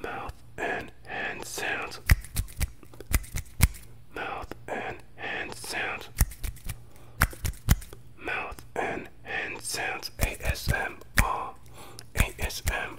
Mouth and hand sounds. Mouth and hand sounds. Mouth and hand sounds. ASMR. ASMR.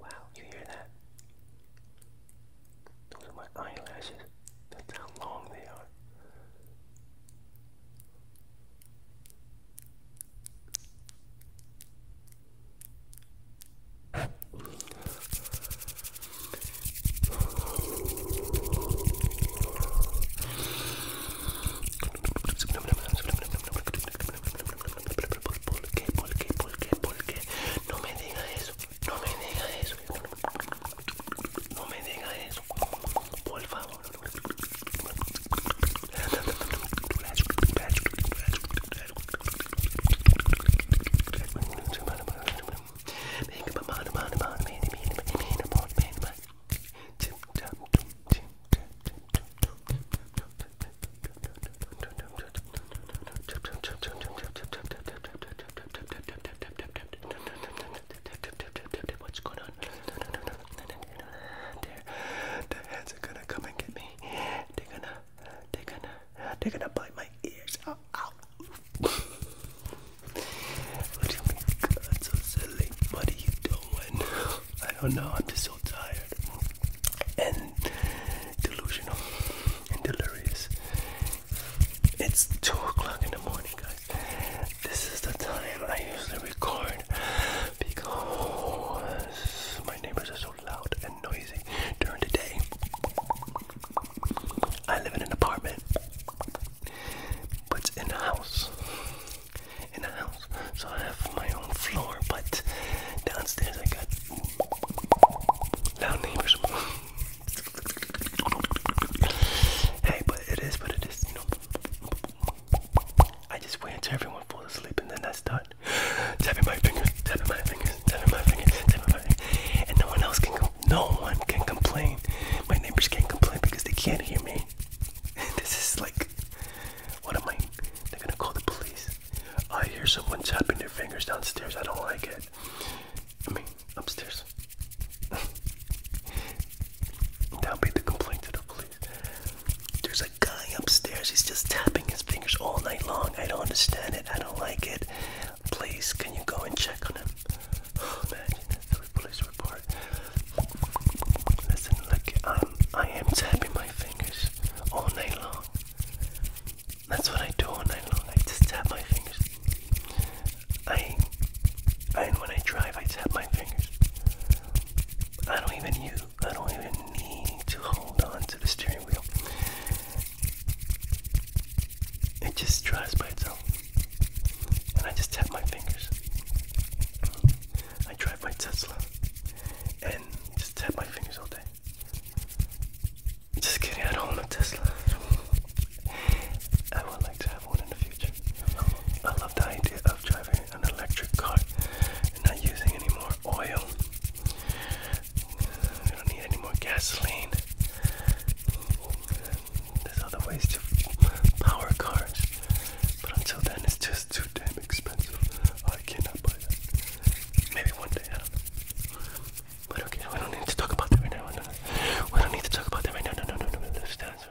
Wow, you hear that? Those are my eyelashes. That's how long they are. ¿Por qué? ¿Por qué? ¿Por qué? ¿Por qué? No me diga eso. No me diga eso. No me diga eso. Por favor. What's going on? There, the heads are gonna come and get me. They're gonna they're gonna, they're gonna bite my ears. Ow, ow. what do you mean? God, so silly. What are you doing? I don't know. I'm just so tired and delusional and delirious. It's two o'clock in the morning, guys. This is the time I usually record because my neighbors are so loud and noisy during the day. I live in an apartment, but in a house. In a house. So I have my own floor, but downstairs I got loud neighbors. hey, but it is what it is, you know. I just wait until everyone falls asleep and then I start not. Tapping my fingers, tapping my fingers, tapping my fingers, tapping my fingers. And no one else can, no one can complain. My neighbors can't complain because they can't hear me. This is like, what am I, they're gonna call the police. I hear someone tapping their fingers downstairs. I don't like it. I mean, upstairs. That'll be the complaint to the police. There's a guy upstairs. He's just tapping his fingers all night long. I don't understand it. I don't like it. Please, can you go and check on him? Oh, police report. Listen, look, i um, I am tapping my fingers all night long. That's what I do all night long. I just tap my fingers. I, and when I drive, I tap my fingers. I don't even use, I don't even need to hold on to the steering wheel it just dries by itself. And I just tap my fingers. I drive my Tesla and just tap my fingers all day. Just kidding, I don't own a Tesla. I would like to have one in the future. I love the idea of driving an electric car and not using any more oil we don't need any more gasoline. There's other ways to power cars, but until then, it's just too damn expensive. I cannot buy that. Maybe one day, I do But okay, we don't need to talk about that right now. No, no. We don't need to talk about that right now. No, no, no, no, no. Just no, answer.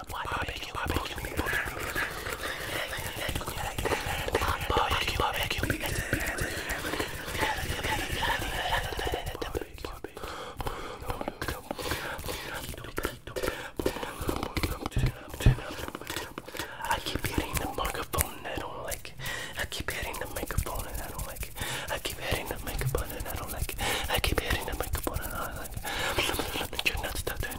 the barbecue, barbecue, barbecue, I keep hitting the microphone and I don't like it. I keep hitting the microphone and I don't like it. I keep hitting the microphone and I don't like it. I keep hitting the microphone and I don't like it. You're not stuck there.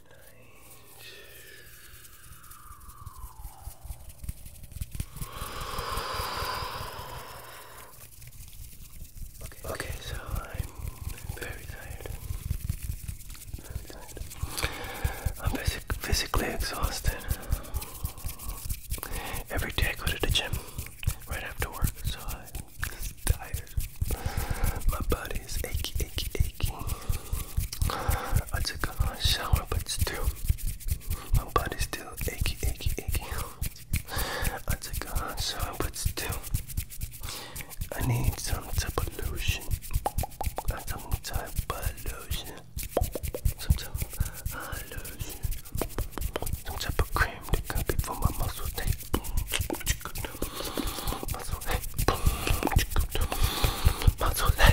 Okay. so I'm very tired. I'm physically exhausted. Every day I go to the gym right after work, so I'm tired. My body is aching, aching, aching. I took a shower, but still, my body's still achy, achy, achy. I took a shower, but still, I need some type of lotion. And some type of lotion. Some type of uh, lotion. Some type of cream that can be for my muscle tape. Muscle tape. Muscle tape.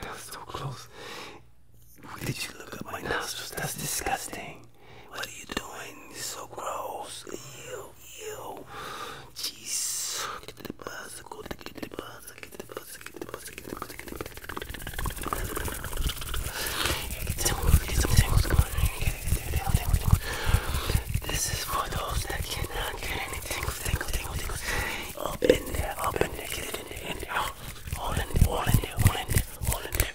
That was so close. Did you look at my nostrils? That's disgusting. What are you doing? It's so gross eu. Diz. Que te passa, que te passa, que te passa, que te passa, que te passa, que te This is for those that cannot get anything. Tingle, tingle, tingle. Up in there, up in there, get it in there, in there. All in there, all in there, all in there, all in there.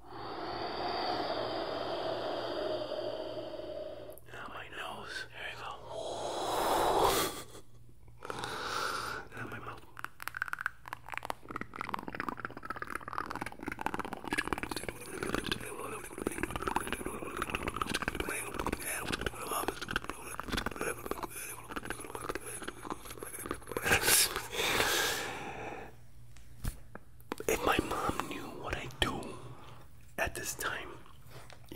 Now my nose. There you go. now my mouth if my mom knew what I do at this time,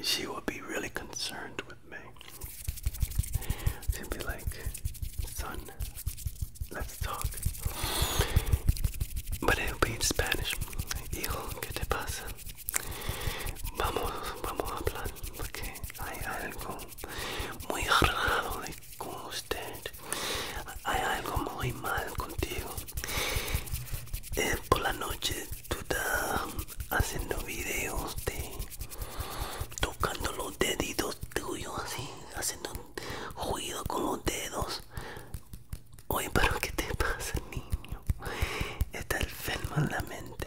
she would be really concerned with me. She'd be like, son, let's talk. But it'll be in Spanish. Hijo, ¿qué te pasa? Vamos, vamos a hablar, porque hay algo muy raro con usted hay algo muy mal contigo eh, por la noche tú estás haciendo videos de tocando los deditos tuyos así haciendo ruido con los dedos oye pero qué te pasa niño está enfermo en la mente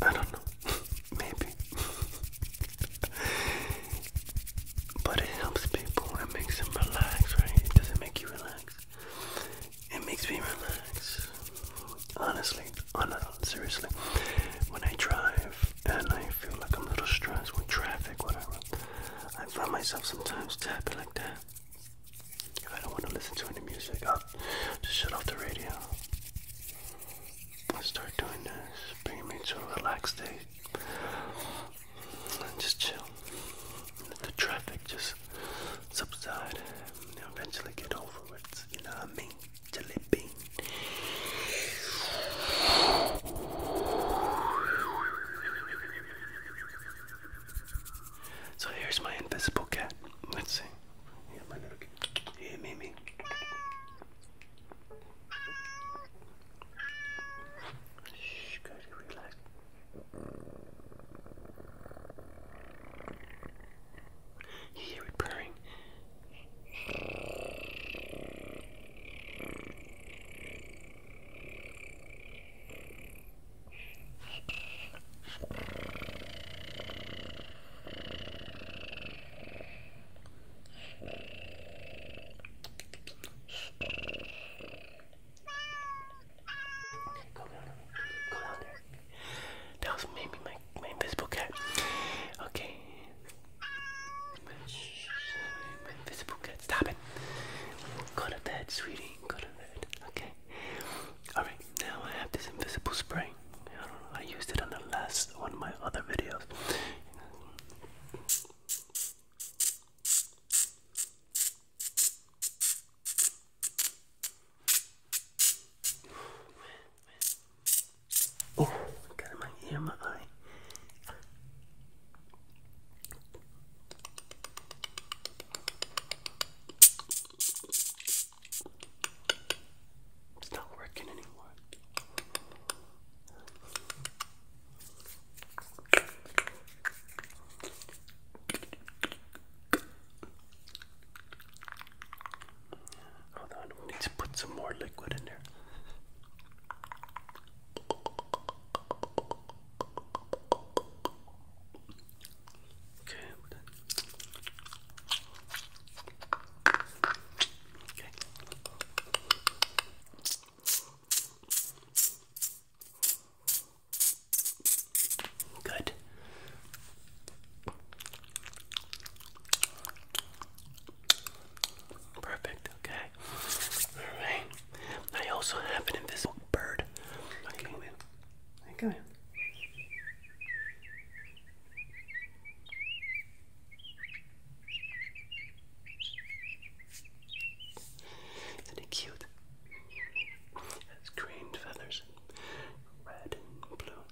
I don't know. Maybe. but it helps people. It makes them relax, right? Does it make you relax? It makes me relax. Honestly. Oh no, seriously. When I drive and I feel like I'm a little stressed with traffic, whatever, I find myself sometimes tapping like that. I don't want to listen to any music, I'll just shut off the radio. Start doing this. Bring your to a relaxed state. just chill. Let the traffic just subside. eventually get over it. You know what I mean? Jelly bean. So here's my invisible cat. Let's see. Yeah, Mimi. Shh, good, relax. You hear it purring. That was maybe my, my invisible cat. Okay. my invisible cat. Stop it. Go to bed, sweetie. Go to bed. Okay. Alright, now I have this invisible spray. I used it on the last one of my other videos. Oh, got my ear, my eye. It's not working anymore. Hold on, we need to put some more liquid in there. Okay. Okay. Good. Perfect. Okay. All right. I also have an invisible bird. Okay. Come Come in. Isn't it cute? It's green feathers red and blue.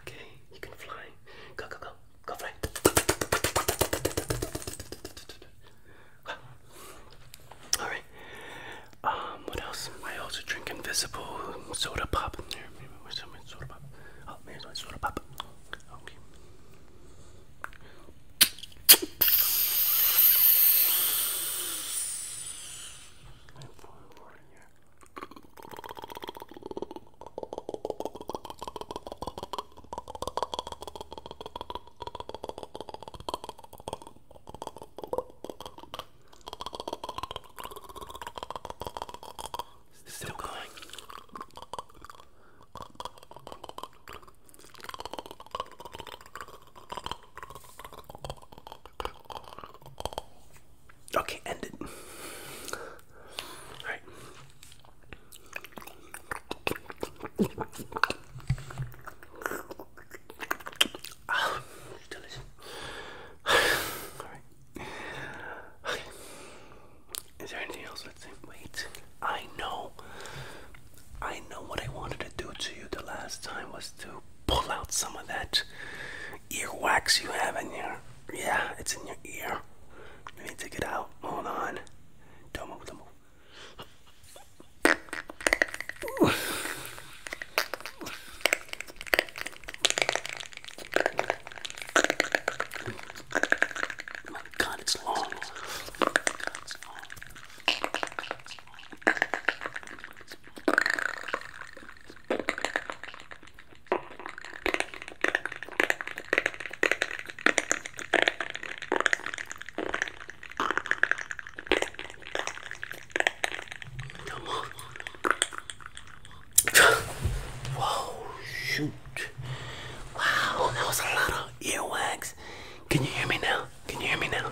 Okay, you can fly. Go, go, go. Go fly. Alright, um, what else? I also drink Invisible soda pop. where's my soda pop? Oh, there's my soda pop. Okay. Still going. Okay, end it. All right. Is there anything else? Let's see. Wait. I know. I know what I wanted to do to you the last time was to pull out some of that earwax you have in your. Yeah, it's in your ear. Let me take it out. Hold on. Don't move, don't move. Oh my god, it's long. Oh my god, it's long. Don't Whoa, shoot. Wow, that was a lot of earwax. Can you hear me now? Can you hear me now?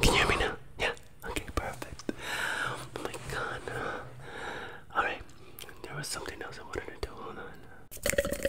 Can you hear me now? Yeah. Okay, perfect. Oh my god. Alright, there was something else I wanted to do. Hold on.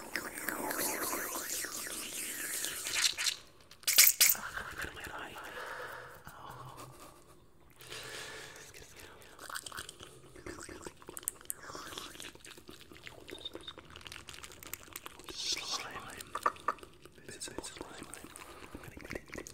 Slime. Bits of slime. I'm gonna get it.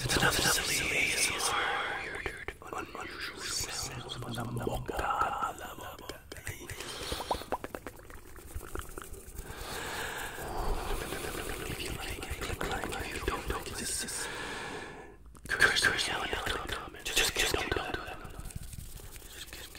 It's another silly ASMR. Weird, unusual sounds from the Mokka. If you like it, click like it. If you don't like it, just curse, curse, now and now in the comments. Just, just don't do that. Just, just,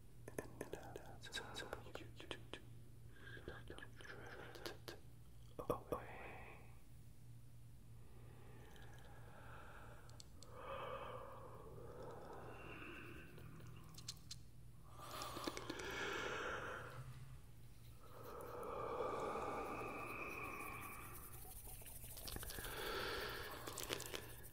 Oh, and that's you do drift away.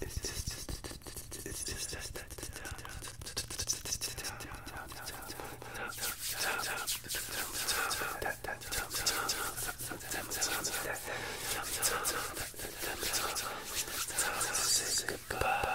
it's time to say goodbye.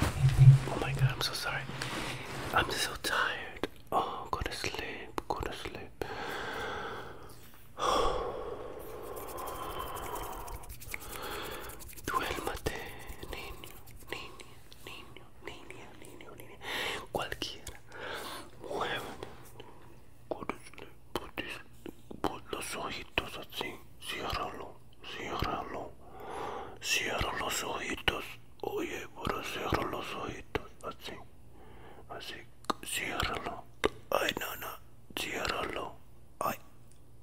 Oh my god, I'm so sorry. I'm so tired. Oh, go to sleep, go to sleep. Duérmate, niño, niña, niño, niña, niño, niña. Cualquiera. Muévete. Go to sleep, put, this, put los ojitos así, ciérralo. ciérralo, cierra los ojitos, oye, pero cierra los ojitos, así, así, ciérralo, ay, no, no, ciérralo, ay,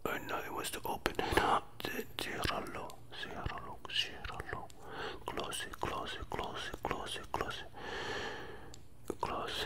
ay, no, it was to open, no, ciérralo, ciérralo, ciérralo, close close close close close close close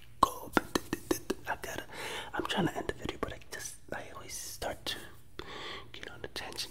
go. I gotta. I'm trying to end the video, but I just I always start to get on the tension.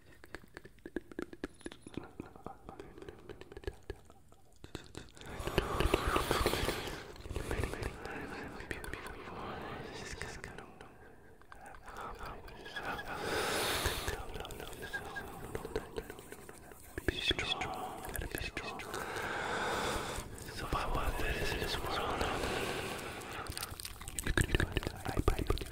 Be strong, gotta be strong. So by what there is in this world, you could do it. I believe.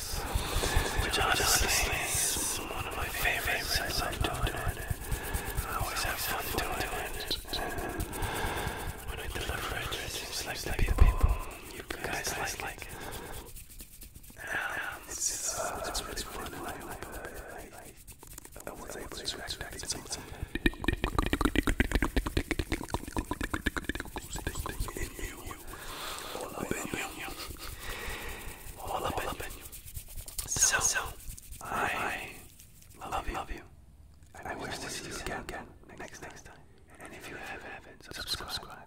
Yes. Which honestly is one of my favorites. I love doing it. I always have fun doing it. Uh, when I deliver it, it like the people, you guys like um, it's, uh, fun. I was able to extract some of Everything in you. All up in you. All up in you. So, so I love you. Love you. And I wish to see you again, again next, next time. And if you have, haven't, subscribe. subscribe.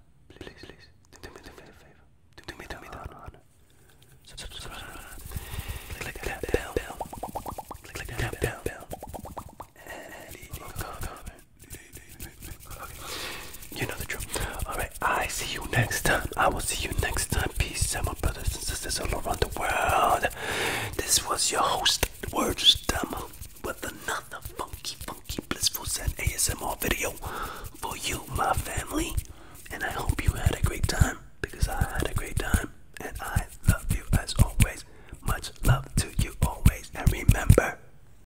Please, please. Do me, do me the favor. Do me, do me the honor. Subscribe. Click that bell. Click that bell. And leave a comment. You know the drill. Alright, I see you next time. I will see you next time. Peace out, my brothers and sisters all around the world. This was your host, Words Demo, with another funky, funky, blissful Zen ASMR video for you, my family. And I hope you had a great time because I had a great time. And I love you as always. Much love to you always. And remember,